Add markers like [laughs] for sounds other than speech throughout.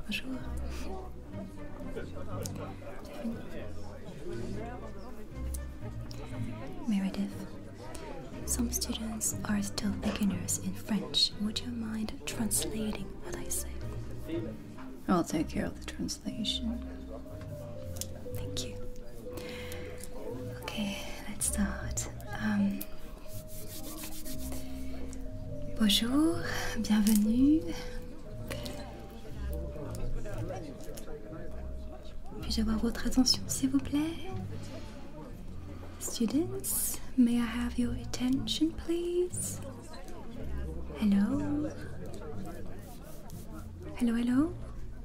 Bonjour. Meredith, some students are still beginners in French. Would you mind translating what I say? I'll take care of the translation. Thank you. Ok, let's start. Um, bonjour, bienvenue. Puis-je avoir votre attention, s'il vous plaît? Students, may I have your attention, please? Hello? Hello, hello?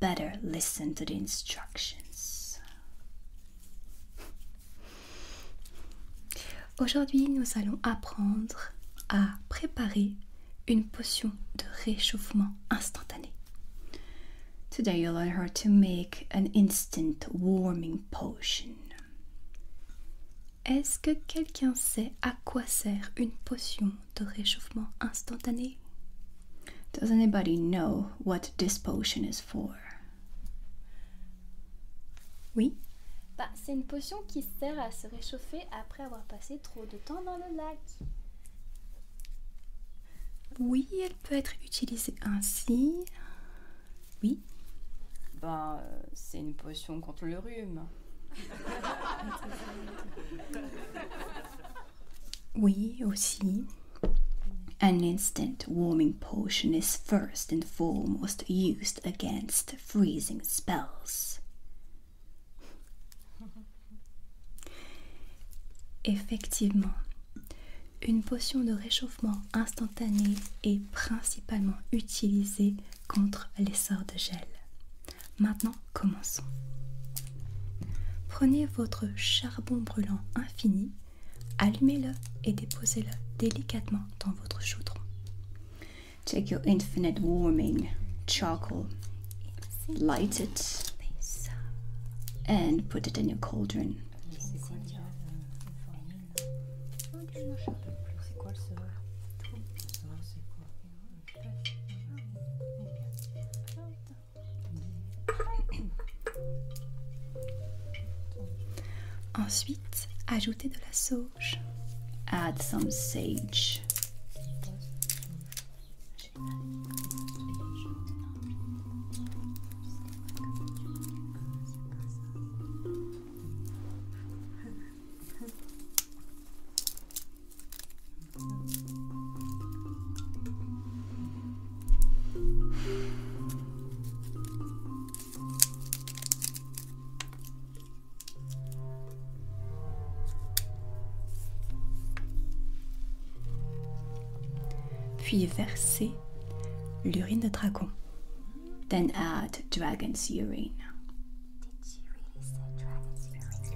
better listen to the instructions. Aujourd'hui, nous allons apprendre à préparer une potion de réchauffement instantané. Today you learn how to make an instant warming potion. Est-ce que quelqu'un sait à quoi sert une potion de réchauffement instantané. Does anybody know what this potion is for? Oui? Bah, c'est une potion qui sert à se réchauffer après avoir passé trop de temps dans le lac. Oui, elle peut être utilisée ainsi. Oui. Ben, c'est une potion contre le rhume. [laughs] We aussi. An instant warming potion is first and foremost used against freezing spells. Effectivement, une potion de réchauffement instantané est principalement utilisée contre les sorts de gel. Maintenant, Commençons. Prenez votre charbon brûlant infini, allumez-le et déposez-le délicatement dans votre chaudron. Take your infinite warming charcoal, light it, and put it in your cauldron. C'est quoi le charbon? C'est quoi le soir? Le c'est quoi? Le soir, c'est quoi? Le soir, c'est quoi? Ensuite, ajoutez de la sauge. Add some sage puis verser l'urine de dragon. Then add dragon's urine. Did you really say dragon's urine?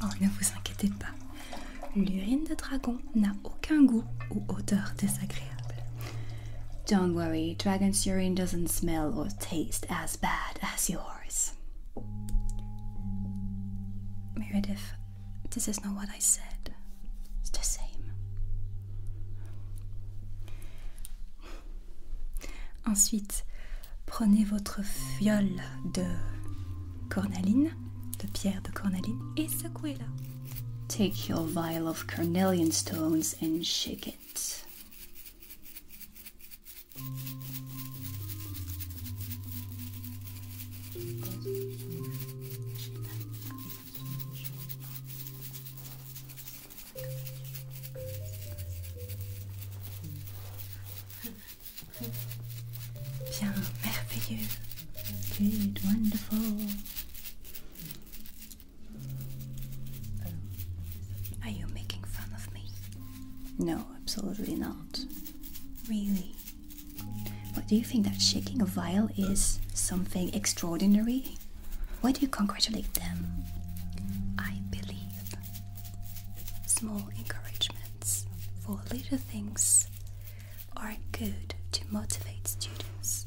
Oh, ne vous inquiétez pas, l'urine de dragon n'a aucun goût ou odeur désagréable. Don't worry, dragon's urine doesn't smell or taste as bad as yours. Meredith This is not what I said. It's the same. Ensuite, prenez votre fiole de cornaline, de pierre de cornaline, et secouez-la. Take your vial of cornelian stones and shake it. Bien, merveilleux. Good, wonderful. Are you making fun of me? No, absolutely not. Really? What do you think that shaking a vial is something extraordinary? Why do you congratulate them? I believe small encouragements for little things are good to motivate students.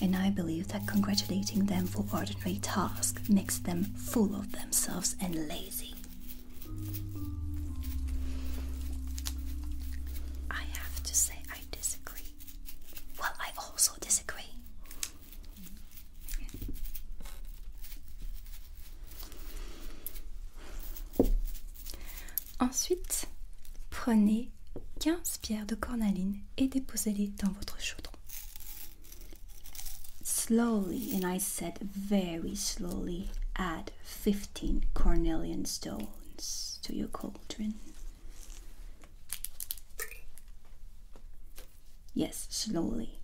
And I believe that congratulating them for ordinary tasks makes them full of themselves and lazy. I have to say I disagree. Well, I also disagree. Ensuite, prenez 15 pierres de cornaline et déposez-les dans votre chaudron. Slowly, and I said very slowly, add 15 cornelian stones to your cauldron. Yes, slowly.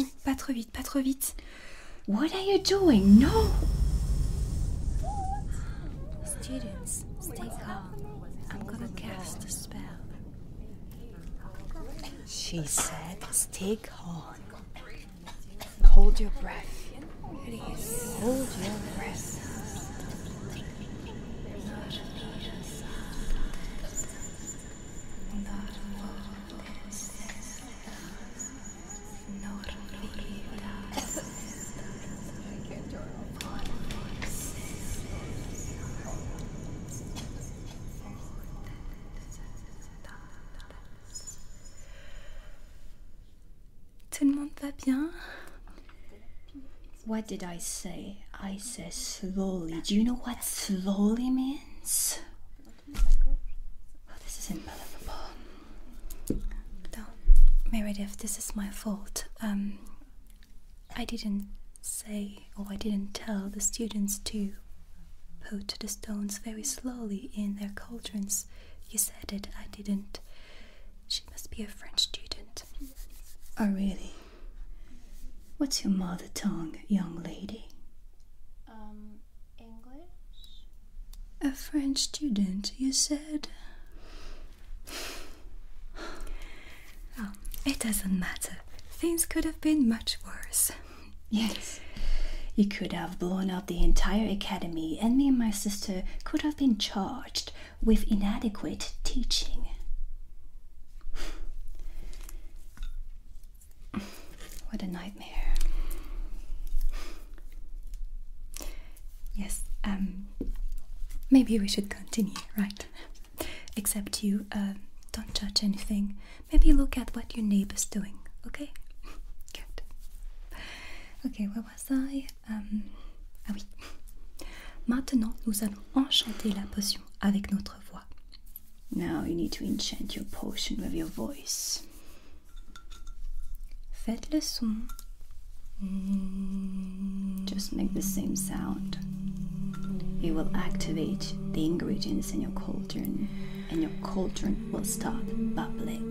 Oh, pas trop vite, pas trop what are you doing? No! Students, stay calm. I'm gonna cast a spell. She said, stay calm. Hold your breath. Please. Hold your breath. Tout le monde What did I say? I said slowly. Do you know what slowly means? Oh, this is unbelievable. Meredith, this is my fault. Um, I didn't say or I didn't tell the students to put the stones very slowly in their cauldrons. You said it, I didn't. She must be a French student. Oh, really? What's your mother tongue, young lady? Um. English? A French student, you said? [sighs] oh, it doesn't matter. Things could have been much worse. Yes. You could have blown up the entire academy, and me and my sister could have been charged with inadequate teaching. [sighs] What an Yes, um, maybe we should continue, right? Except you uh, don't judge anything. Maybe look at what your neighbor's doing, okay? Good. Ok, where was I? Um, ah oui. Maintenant, nous allons enchanter la potion avec notre voix. Now you need to enchant your potion with your voice. Just make the same sound. It will activate the ingredients in your cauldron, and your cauldron will start bubbling.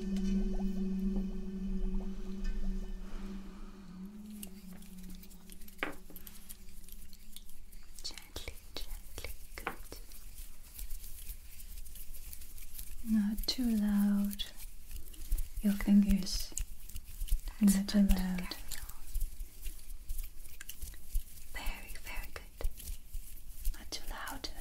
Gently, gently, good. Not too loud. Your fingers. That's Not too loud. Very, very good. Not too loud, I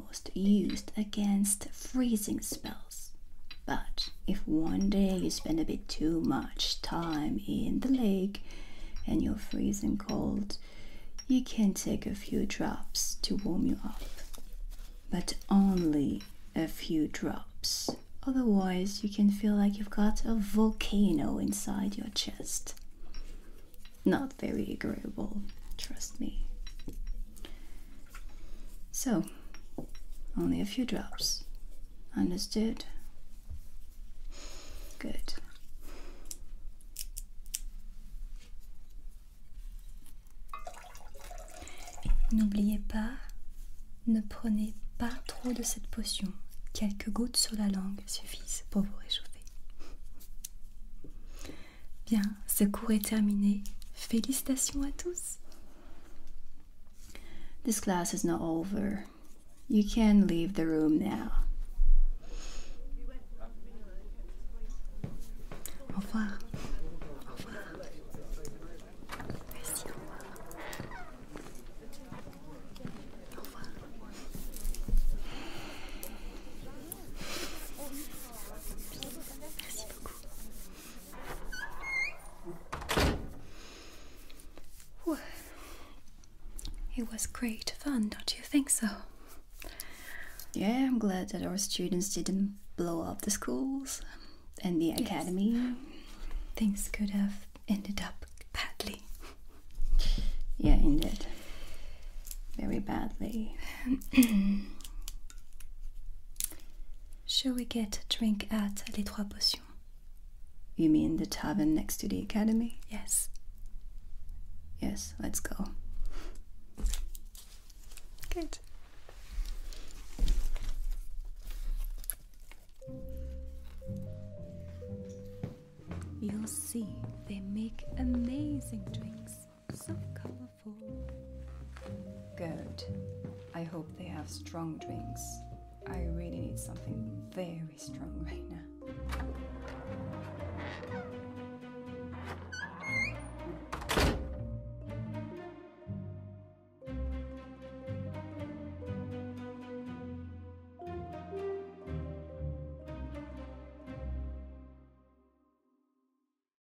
almost used against freezing spells. But if one day you spend a bit too much time in the lake and you're freezing cold, you can take a few drops to warm you up. But only a few drops, otherwise, you can feel like you've got a volcano inside your chest. Not very agreeable, trust me. So, only a few drops. Understood? Good. N'oubliez pas, ne prenez pas trop de cette potion. Quelques gouttes sur la langue suffisent pour vous réchauffer. Bien, ce cours est terminé. Félicitations à tous. This class is not over. You can leave the room now. Au revoir. Au revoir. au revoir. Au revoir. Merci beaucoup. It was great fun, don't you think so? Yeah, I'm glad that our students didn't blow up the schools and the academy. Things could have ended up badly. Yeah, indeed. Very badly. [clears throat] Shall we get a drink at Les Trois Potions? You mean the tavern next to the academy? Yes. Yes, let's go. Good. You'll see they make amazing drinks, Good. I hope they have strong drinks. I really need something very strong right now.